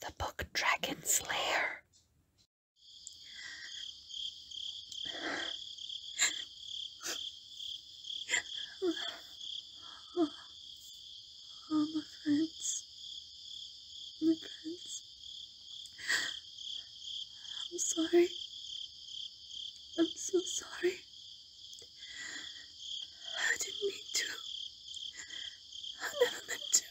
The book Dragon's Lair. Oh, oh, my friends. My friends. I'm sorry. I'm so sorry. I didn't mean to. I never meant to.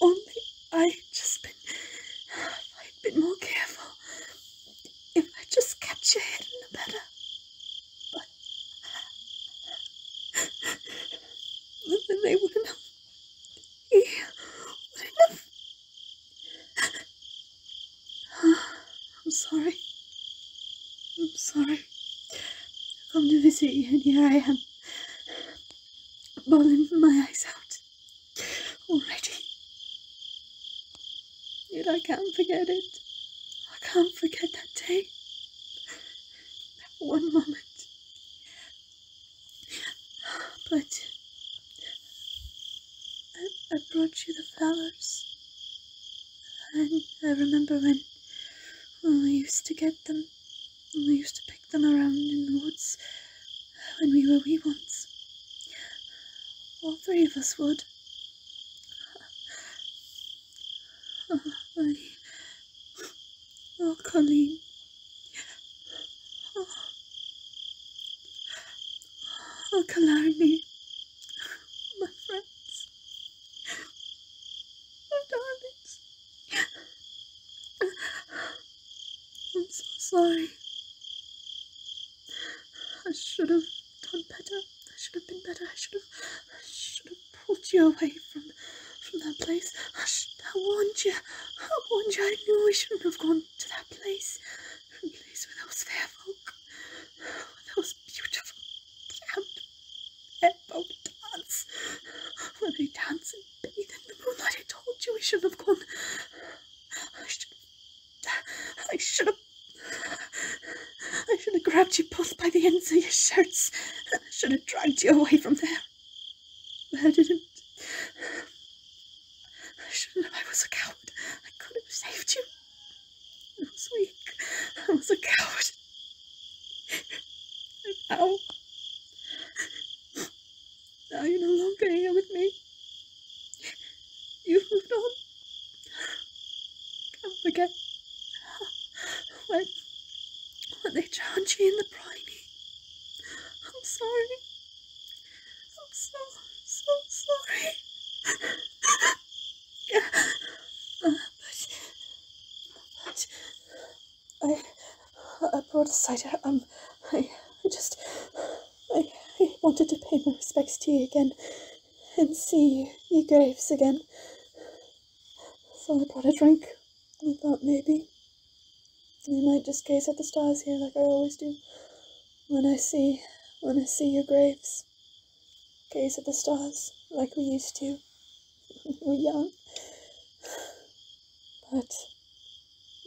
Only I just been. a bit more careful, if I just kept head in the better. But. Then they wouldn't have. He wouldn't I'm sorry. I'm sorry. I come to visit you and here I am. Bawling my eyes out. Already. Yet I can't forget it. I can't forget that day. That one moment. But I, brought you the flowers. And I remember when, when we used to get them, when we used to pick them around in the woods when we were wee once, All three of us would. Oh, I, oh Colleen. Oh, oh my friends, my darlings. I'm so sorry. I should have done better. I should have been better. I should have, I should have pulled you away from, from that place. I, I warned you. I warned you. I knew we shouldn't have gone to that place, a place where those fair folk, where those beautiful damned fair folk dance, where they dance and bathe in the moonlight. I told you I should have gone. I should, I should have. I should have grabbed you both by the ends of your shirts. I should have dragged you away from there. But I didn't. I shouldn't have. I was a coward. I could have saved you. I was weak. I was a coward. now, now you're no longer here with me. You've moved on. Come not forget when, when they drowned you in the briny. I'm sorry. I'm so, so sorry. but, but, I, brought a cider. Um, I, I just, I, I wanted to pay my respects to you again and see your graves again. So I brought a drink. I thought maybe we might just gaze at the stars here like I always do. When I see, when I see your graves, gaze at the stars like we used to when we are young. But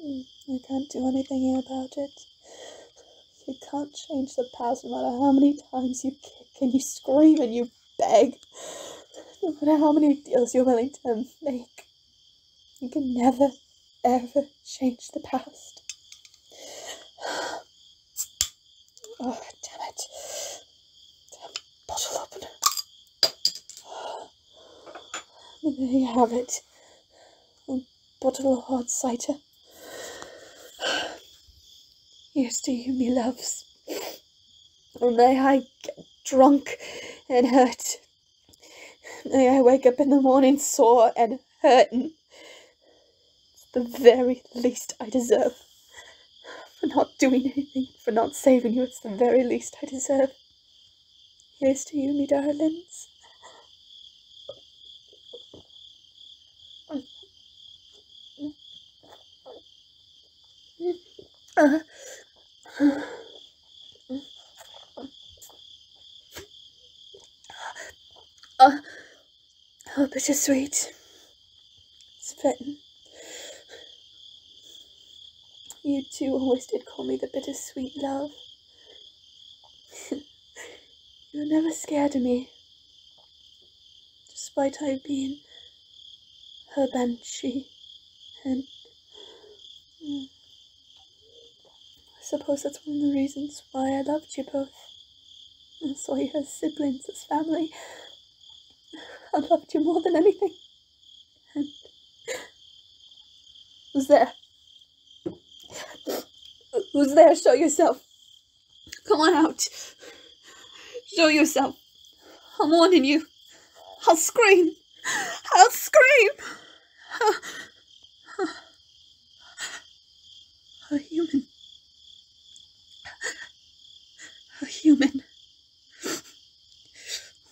mm, I can't do anything about it. You can't change the past no matter how many times you kick and you scream and you beg. No matter how many deals you're willing to make. You can never ever change the past. Oh, damn it. Damn bottle opener. there you have it. A um, bottle of hard cider. Here's to you, me loves. And oh, may I get drunk and hurt. May I wake up in the morning sore and hurting. It's the very least I deserve. For not doing anything, for not saving you, it's the very least I deserve. Here's to you, me darlings. Uh, oh, bittersweet. it's fitting. You two always did call me the bittersweet love. you were never scared of me, despite I being her banshee and. Mm, I suppose that's one of the reasons why I loved you both. I saw you as siblings, as family. I loved you more than anything. And who's there? Who's there? Show yourself. Come on out. Show yourself. I'm warning you. I'll scream. I'll scream. A human. A human.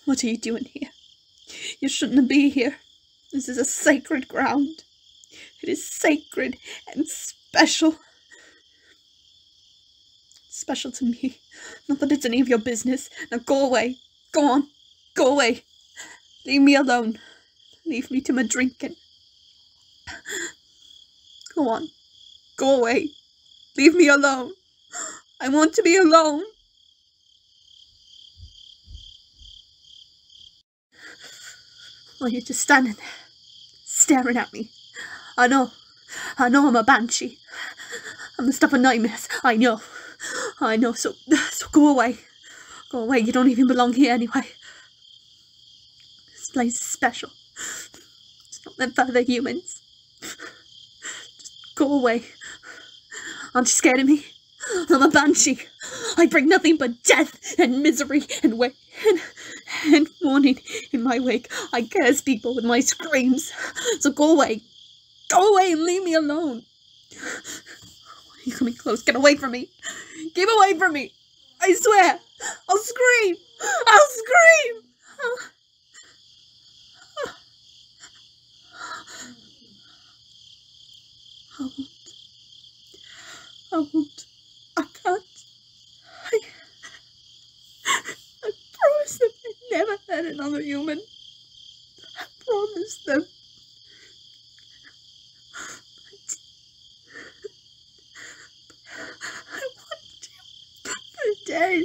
What are you doing here? You shouldn't be here. This is a sacred ground. It is sacred and special. special to me. Not that it's any of your business. Now go away. Go on. Go away. Leave me alone. Leave me to my drinking. Go on. Go away. Leave me alone. I want to be alone. Well, you're just standing there, staring at me. I know. I know I'm a banshee. I'm the stuff of nightmares. I know. I know, so, so go away. Go oh, away, you don't even belong here anyway. This place is special. It's not meant for the humans. Just go away. Aren't you scared of me? I'm a banshee. I bring nothing but death and misery and wa- and mourning in my wake. I curse people with my screams. So go away. Go away and leave me alone. You're coming close. Get away from me. Get away from me. I swear. I'll scream. I'll scream. I'll... I won't. I won't. I will not i will not i can not I, I promised them i never hurt another human. I promised them. I want you for dead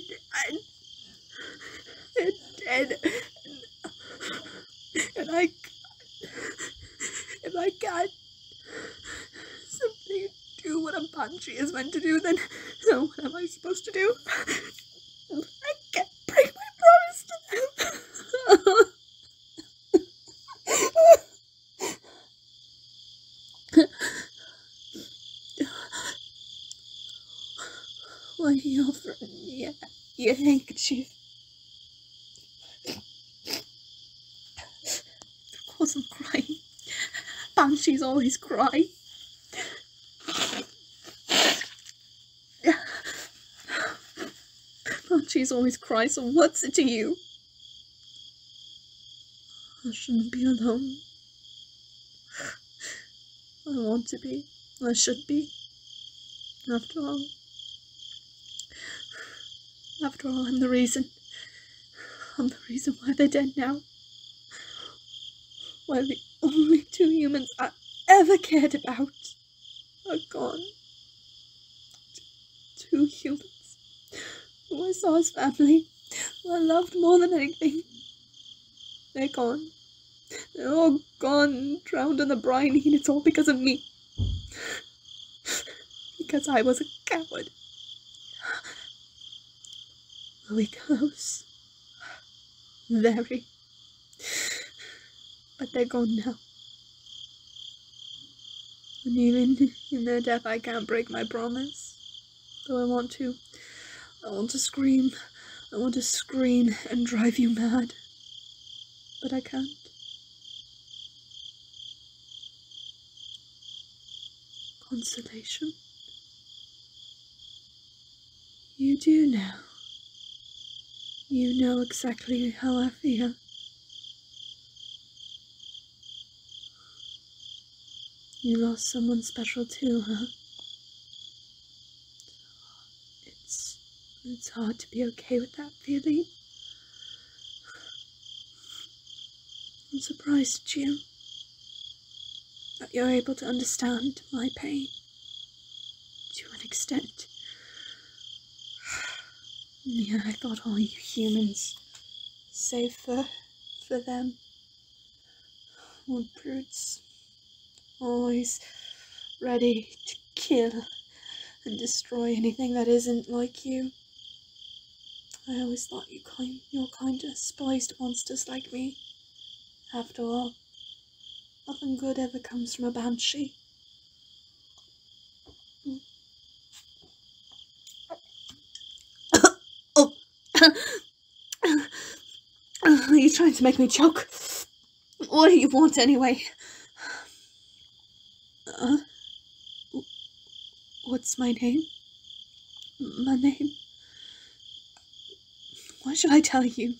and, dead and, I if I can't simply do what a banshee is meant to do then so what am I supposed to do? I can't break my promise to them. Why you offering me your handkerchief? Because I'm crying. Banshees always crying. Archie's oh, always cries, so what's it to you? I shouldn't be alone. I want to be. I should be. After all. After all, I'm the reason. I'm the reason why they're dead now. Why the only two humans I ever cared about are gone. Two humans who I saw as family, who I loved more than anything. They're gone. They're all gone, drowned in the briny, and it's all because of me. because I was a coward. Lily Close. Very. But they're gone now. And even in their death, I can't break my promise. Though I want to. I want to scream. I want to scream and drive you mad. But I can't. Consolation? You do now. You know exactly how I I You lost someone special too, huh? It's it's hard to be okay with that feeling. I'm surprised, Jim, that you're able to understand my pain to an extent. Yeah, I thought all you humans, save for, for them, were brutes, always ready to kill and destroy anything that isn't like you. I always thought you kind, your kind despised monsters like me. After all, Nothing good ever comes from a banshee. are you trying to make me choke? What do you want anyway? what's my name? My name? What should I tell you?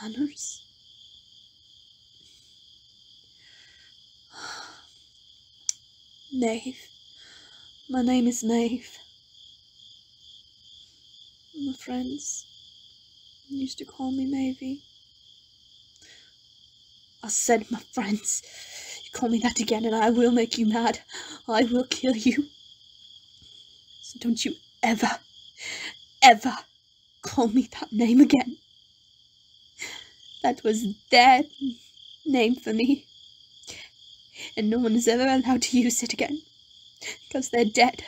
Manners? Maeve. My name is Maeve. My friends used to call me Mavie. I said, my friends, you call me that again and I will make you mad. I will kill you. don't you ever, ever call me that name again. That was their name for me, and no one is ever allowed to use it again, because they're dead.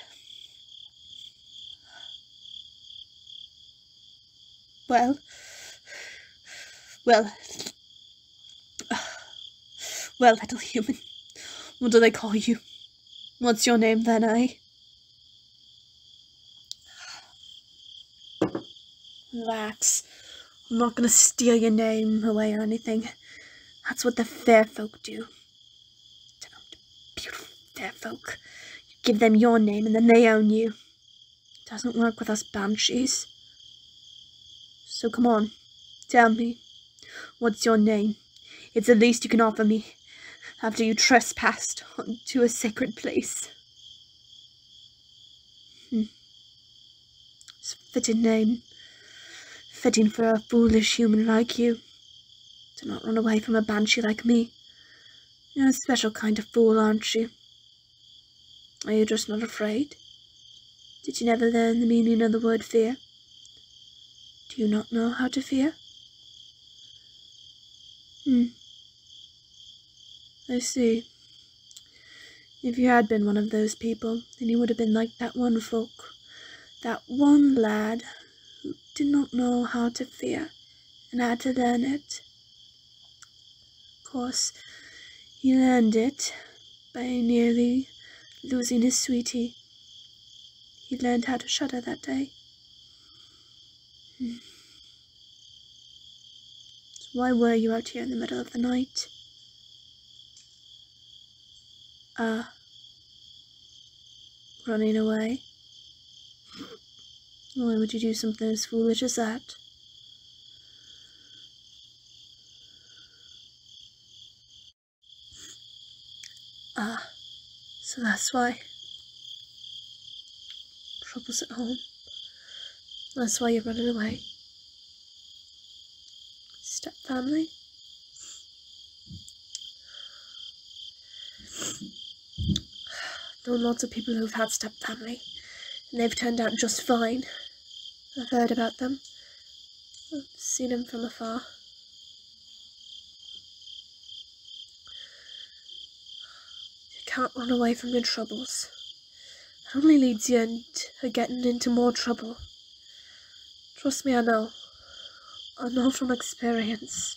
Well, well, well, little human, what do they call you? What's your name then, I? Eh? Relax. I'm not gonna steal your name away or anything. That's what the fair folk do. Damned beautiful fair folk. You give them your name and then they own you. It doesn't work with us banshees. So come on, tell me, what's your name? It's the least you can offer me after you trespassed to a sacred place. Hmm. It's a fitting name. Fitting for a foolish human like you. Do not run away from a banshee like me. You're a special kind of fool, aren't you? Are you just not afraid? Did you never learn the meaning of the word fear? Do you not know how to fear? Hmm. I see. If you had been one of those people, then you would have been like that one folk, that one lad who did not know how to fear and had to learn it. Of course, he learned it by nearly losing his sweetie he learned how to shudder that day. Hmm. why were you out here in the middle of the night? Ah. running away? Why would you do something as foolish as that? Ah, so that's why. Trouble's at home. That's why you're running away. Step family. Known lots of people who've had step family, and they've turned out just fine. I've heard about them. I've seen them from afar. You can't run away from your troubles. It only leads you into uh, getting into more trouble. Trust me, I know. I know from experience.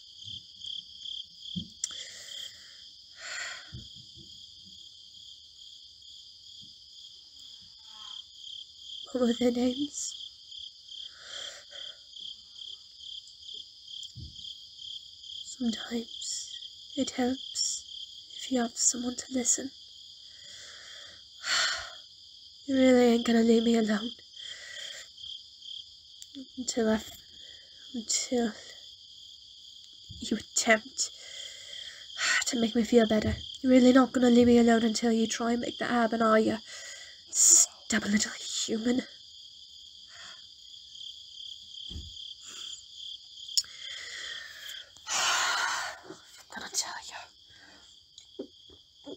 What were their names? Sometimes it helps if you have someone to listen. You really ain't gonna leave me alone. Until I... Until... You attempt to make me feel better. You're really not gonna leave me alone until you try and make that happen, are you? Stubborn little human. I'm gonna tell you.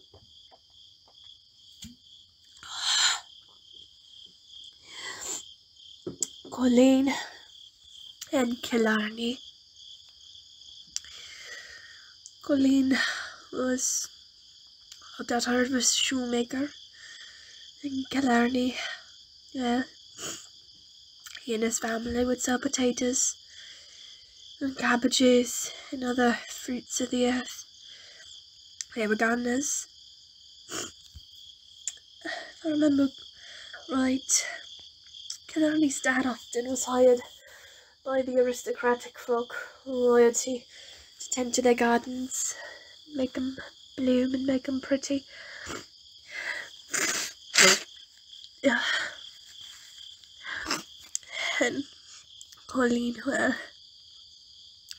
Colleen and Killarney Colleen was a that Harvest Shoemaker in Killarney. Yeah. He and his family would sell potatoes and cabbages and other fruits of the earth. They were gardeners. If I remember right, Killarney's dad often was hired by the aristocratic folk loyalty to tend to their gardens, make them bloom and make them pretty. Yeah. And Pauline, well,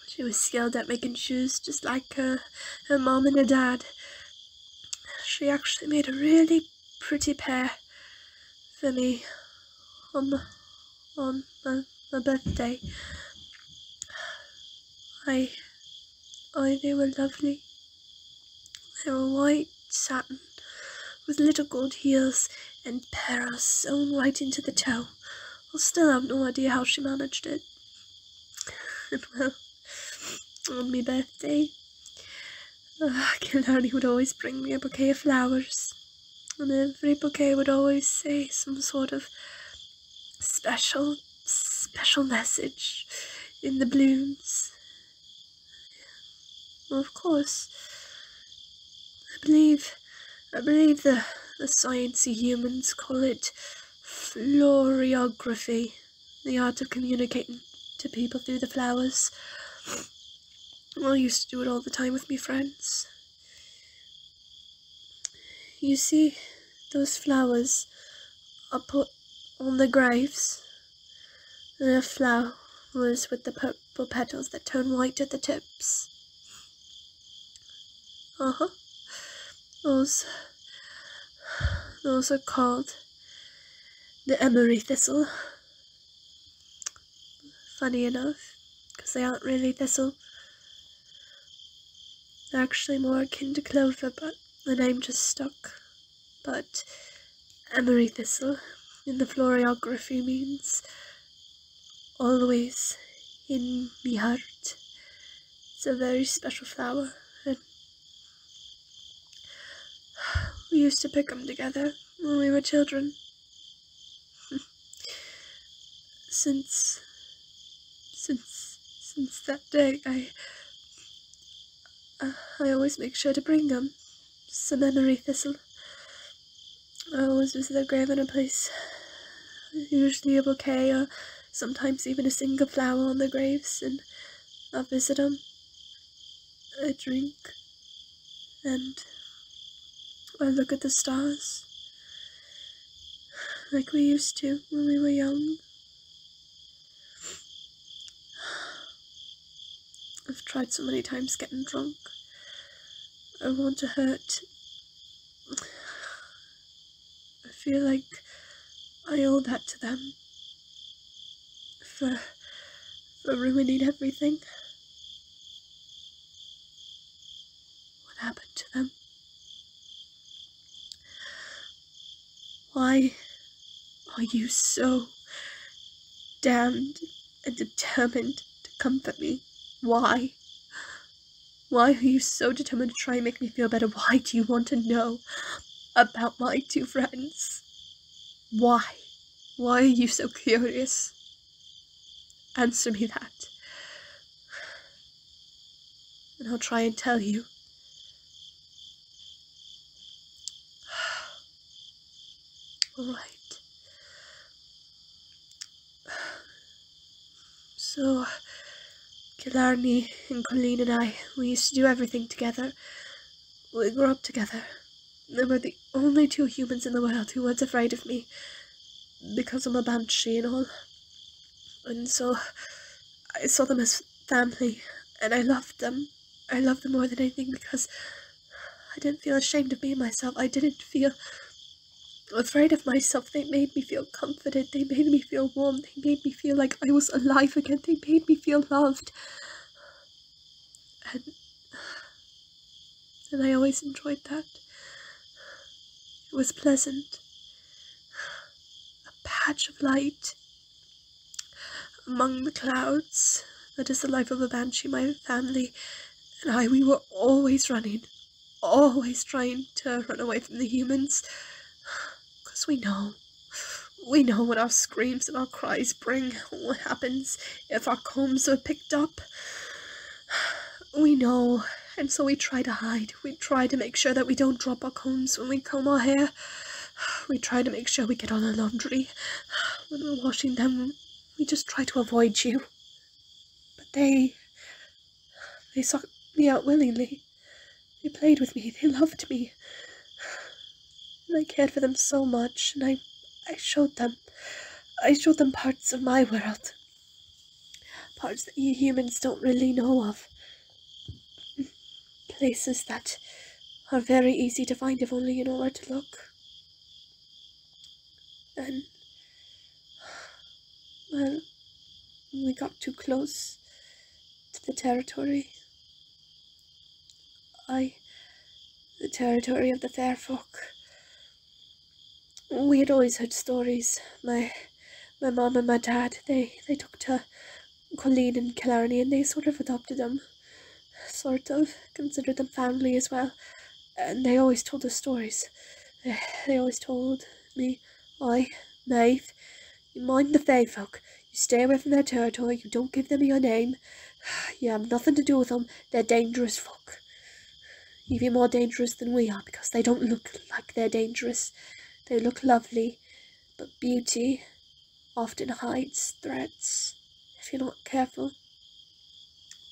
she was skilled at making shoes just like her, her mom and her dad. She actually made a really pretty pair for me on on my, birthday. I, I, they were lovely. They were white satin with little gold heels and paras sewn right into the toe. I still have no idea how she managed it. And well, on my birthday, uh, would always bring me a bouquet of flowers, and every bouquet would always say some sort of special, special message in the blooms. of course, I believe, I believe the, the science humans call it florography, the art of communicating to people through the flowers. Well, I used to do it all the time with me friends. You see, those flowers are put on the graves. The flowers with the purple petals that turn white at the tips. uh Those, those are called the emery thistle funny enough, because they aren't really thistle. They're actually more akin to clover, but the name just stuck. But emery thistle in the florography means always in my heart. It's a very special flower, and we used to pick them together when we were children since since since that day I I always make sure to bring them some emery thistle I always visit their grave in a place usually a bouquet or sometimes even a single flower on their graves and I visit them I drink and I look at the stars like we used to when we were young. I've tried so many times getting drunk. I want to hurt. I feel like I owe that to them for ruining everything. What happened to them? Why are you so damned and determined to comfort me? Why? Why are you so determined to try and make me feel better? Why do you want to know about my two friends? Why? Why are you so curious? Answer me that. And I'll try and tell you. Right. So, Killarney and Colleen and I, we used to do everything together. We grew up together. They were the only two humans in the world who weren't afraid of me, because I'm a banshee and all. And so, I saw them as family, and I loved them. I loved them more than anything because I didn't feel ashamed of being myself. I didn't feel afraid of myself. They made me feel comforted. They made me feel warm. They made me feel like I was alive again. They made me feel loved and, and I always enjoyed that. It was pleasant. A patch of light among the clouds. That is the life of a banshee, my family and I, we were always running, always trying to run away from the humans, 'cause we know, we know what our screams and our cries bring, what happens if our combs were picked up. We know, and so we try to hide. We try to make sure that we don't drop our combs when we comb our hair. We try to make sure we get all our laundry. When we're washing them, we just try to avoid you. But they... they sought me out willingly. They played with me. They loved me. And I cared for them so much, and I, I showed them. I showed them parts of my world. Parts that you humans don't really know of. Places that are very easy to find if only you know where to look. And, well, we got too close to the territory. I, the territory of the fair folk. We had always heard stories. My my mum and my dad, they, they took to Colleen and Killarney and they sort of adopted them. Sort of. Considered them family as well. And they always told us stories. They, always told me, I, Maeve, you mind the fae folk. You stay away from their territory. You don't give them your name. You have nothing to do with them. They're dangerous folk. Even more dangerous than we are because they don't look like they're dangerous. They look lovely, but beauty often hides threats if you're not careful.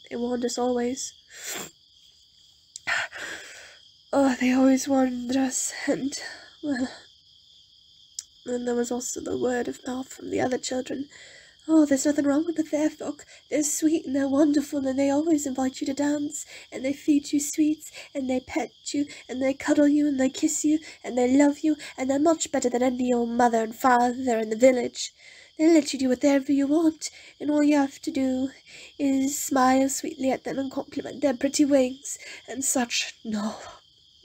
They warned us always. Oh, they always warned us, and, well, and there was also the word of mouth from the other children. Oh, there's nothing wrong with the Fairfolk. They're sweet and they're wonderful and they always invite you to dance and they feed you sweets and they pet you and they cuddle you and they kiss you and they love you and they're much better than any old mother and father in the village. They let you do whatever you want and all you have to do is smile sweetly at them and compliment their pretty wings and such. No,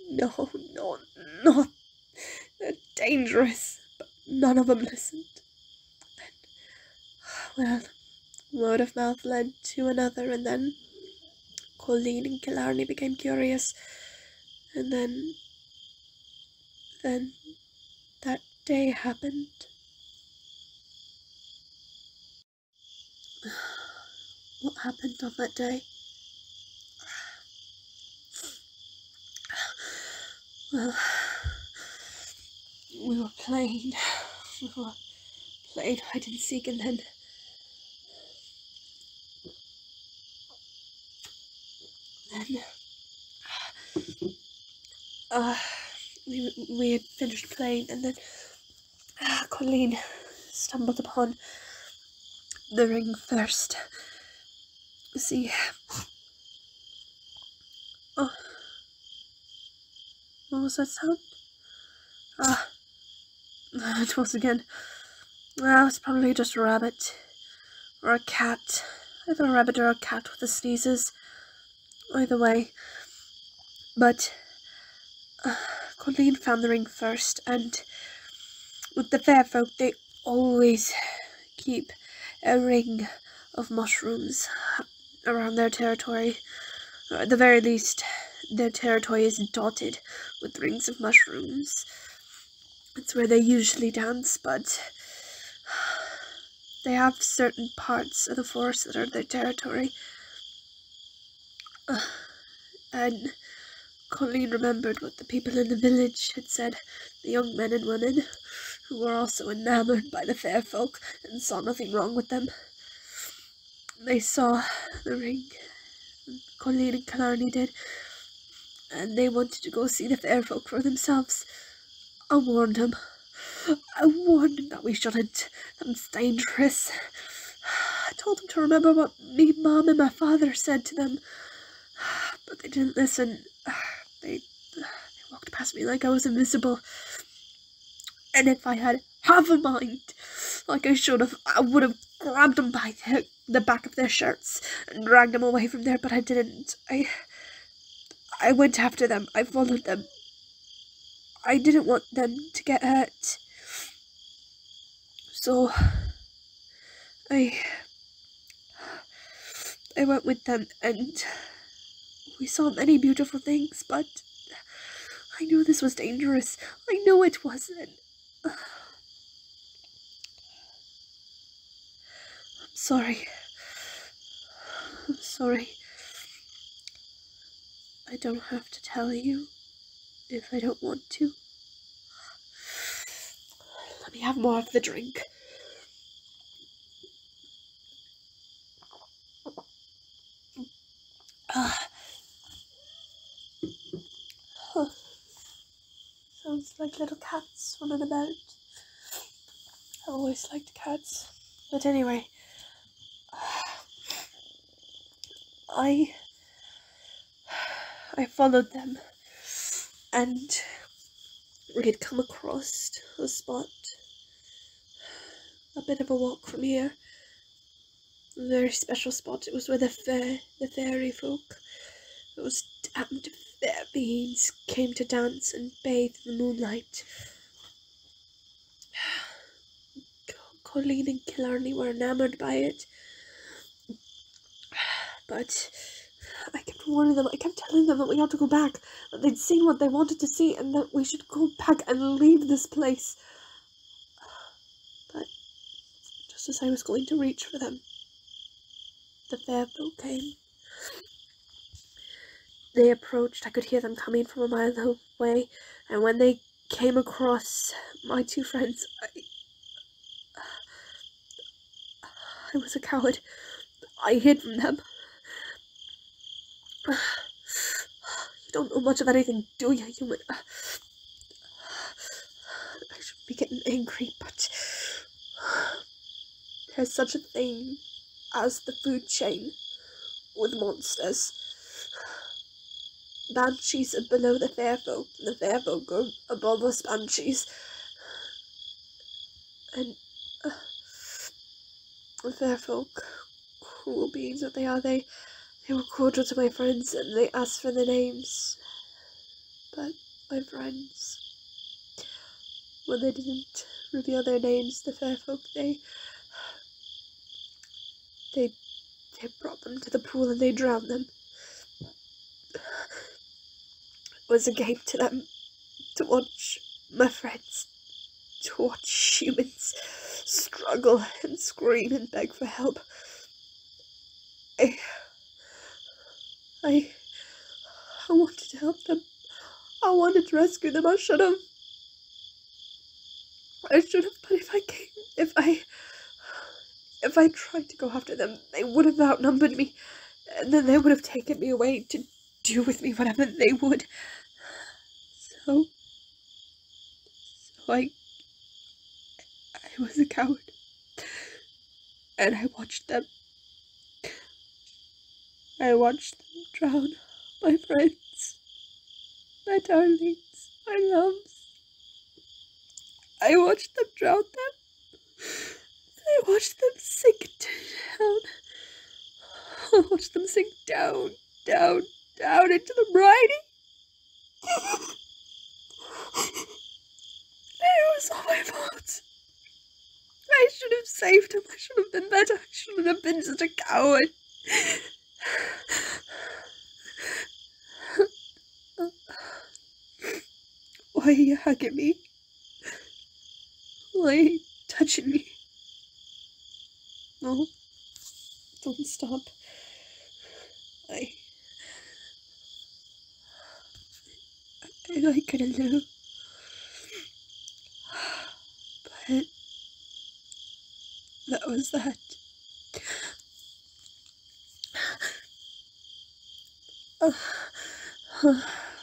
no, no, not they're dangerous, but none of them listened. well, word of mouth led to another, and then Colleen and Killarney became curious, and then, then that day happened. What happened on that day? we were playing. We were playing hide and seek, and then. Then. Uh, uh, we, we had finished playing, and then uh, Colleen stumbled upon the ring first see. Oh. What was that sound? Ah. It was again. Well, ah, it's probably just a rabbit. Or a cat. Either a rabbit or a cat with the sneezes. Either way. But... Uh, Colleen found the ring first, and... With the fair folk, they always keep a ring of mushrooms around their territory. at the very least, their territory is dotted with rings of mushrooms. It's where they usually dance, but they have certain parts of the forest that are their territory. And Colleen remembered what the people in the village had said, the young men and women, who were also enamoured by the fair folk and saw nothing wrong with them. They saw the ring, and Colleen and Killarney did, and they wanted to go see the fair folk for themselves. I warned them, I warned them that we shouldn't. it was dangerous. I told them to remember what me mum and my father said to them. But they didn't listen. They, they walked past me like I was invisible. And if I had half a mind, like I should have, I would have grabbed them by the, the back of their shirts and dragged them away from there, but I didn't. I, I went after them. I followed them. I didn't want them to get hurt. So I I went with them and we saw many beautiful things, but I knew this was dangerous. I knew it wasn't. I'm sorry. I'm sorry. I don't have to tell you if I don't want to. Let me have more of the drink. Ah. Sounds like little cats running about. I always liked cats. But anyway, I I followed them, and we had come across a spot a bit of a walk from here. A very special spot. It was where the fair, the fairy folk, those damned fair beings, came to dance and bathe in the moonlight. Colleen and Killarney were enamoured by it. But I kept warning them, I kept telling them that we had to go back, that they'd seen what they wanted to see, and that we should go back and leave this place. But just as I was going to reach for them, the farewell came. They approached, I could hear them coming from a mile away, and when they came across my two friends, I, I was a coward. I hid from them. You don't know much of anything, do you, human? I should be getting angry, but there's such a thing as the food chain with monsters. Banshees are below the fairfold. The fair folk above us banshees. And fair uh, folk, cruel beings that they are, they, they were cordial to my friends and they asked for their names. But my friends, when they didn't reveal their names, the fair folk, they, they, they brought them to the pool and they drowned them was a game to them to watch my friends, to watch humans struggle and scream and beg for help. I, I, I wanted to help them. I wanted to rescue them. I should have. I should have, but if I came, if I, if I tried to go after them, they would have outnumbered me, and then they would have taken me away to do with me whatever they would. So, so I, I was a coward, and I watched them. I watched them drown, my friends, my darlings, my loves. I watched them drown them. I watched them sink down. I watched them sink down, down, down into the briny. it was all my fault. I should have saved him. I should have been better. I shouldn't have been such a coward. Why are you hugging me? Why touching me? No, don't stop. I. I like it a little. But. That was that.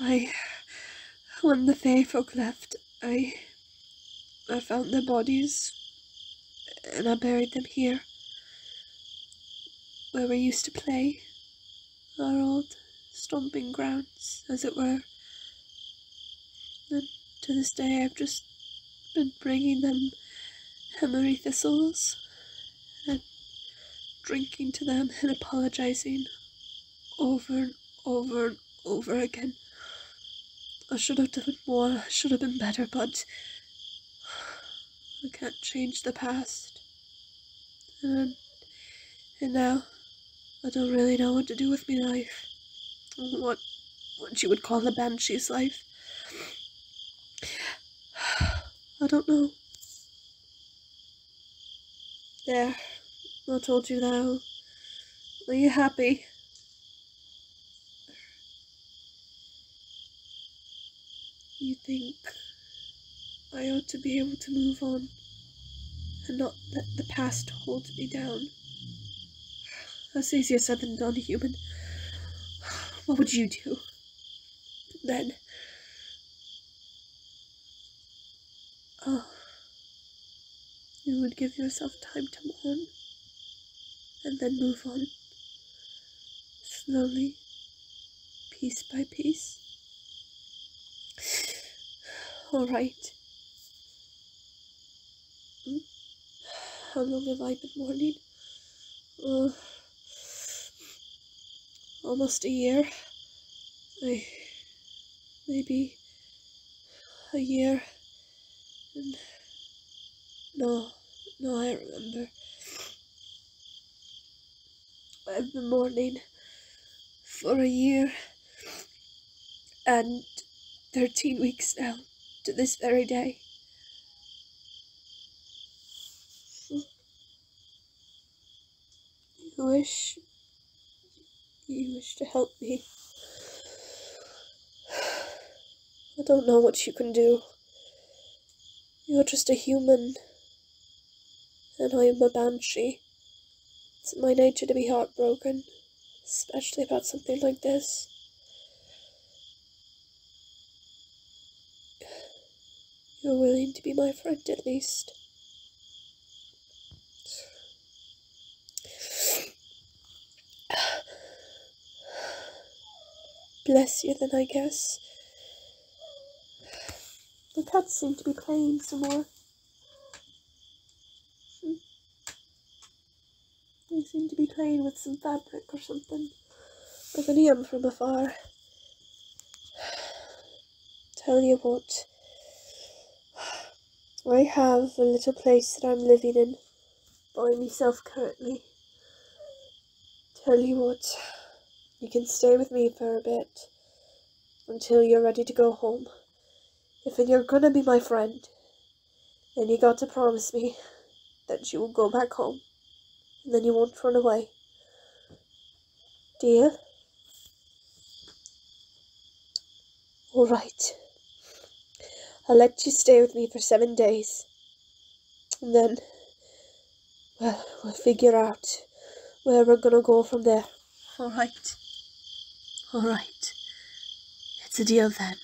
I, when the Fae folk left, I, I found their bodies, and I buried them here, where we used to play, our old stomping grounds, as it were. And to this day, I've just been bringing them emery thistles and drinking to them and apologizing over and over and over again. I should have done more, I should have been better, but I can't change the past. And, and now, I don't really know what to do with my life. What, what you would call the banshee's life. I don't know. There. I told you now. Are you happy? You think I ought to be able to move on and not let the past hold me down. That's easier said than done, human. What would you do? then oh, you would give yourself time to mourn and then move on slowly, piece by piece. All right. Hmm? How long have I been mourning? uh, almost a year. maybe a year. And no, no, I remember. I've been mourning for a year and 13 weeks now to this very day. You wish you wish to help me. I don't know what you can do. You're just a human, and I am a banshee. It's my nature to be heartbroken, especially about something like this. You're willing to be my friend at least. Bless you then, I guess. The cats seem to be playing some more. Hmm. They seem to be playing with some fabric or something. I'm from afar. Tell you what, I have a little place that I'm living in by myself currently. Tell you what, you can stay with me for a bit until you're ready to go home. If you're gonna be my friend, then you got to promise me that you will go back home and then you won't run away. Dear? Alright. I'll let you stay with me for seven days. And then, well, we'll figure out where we're gonna go from there. Alright. Alright. It's a deal then.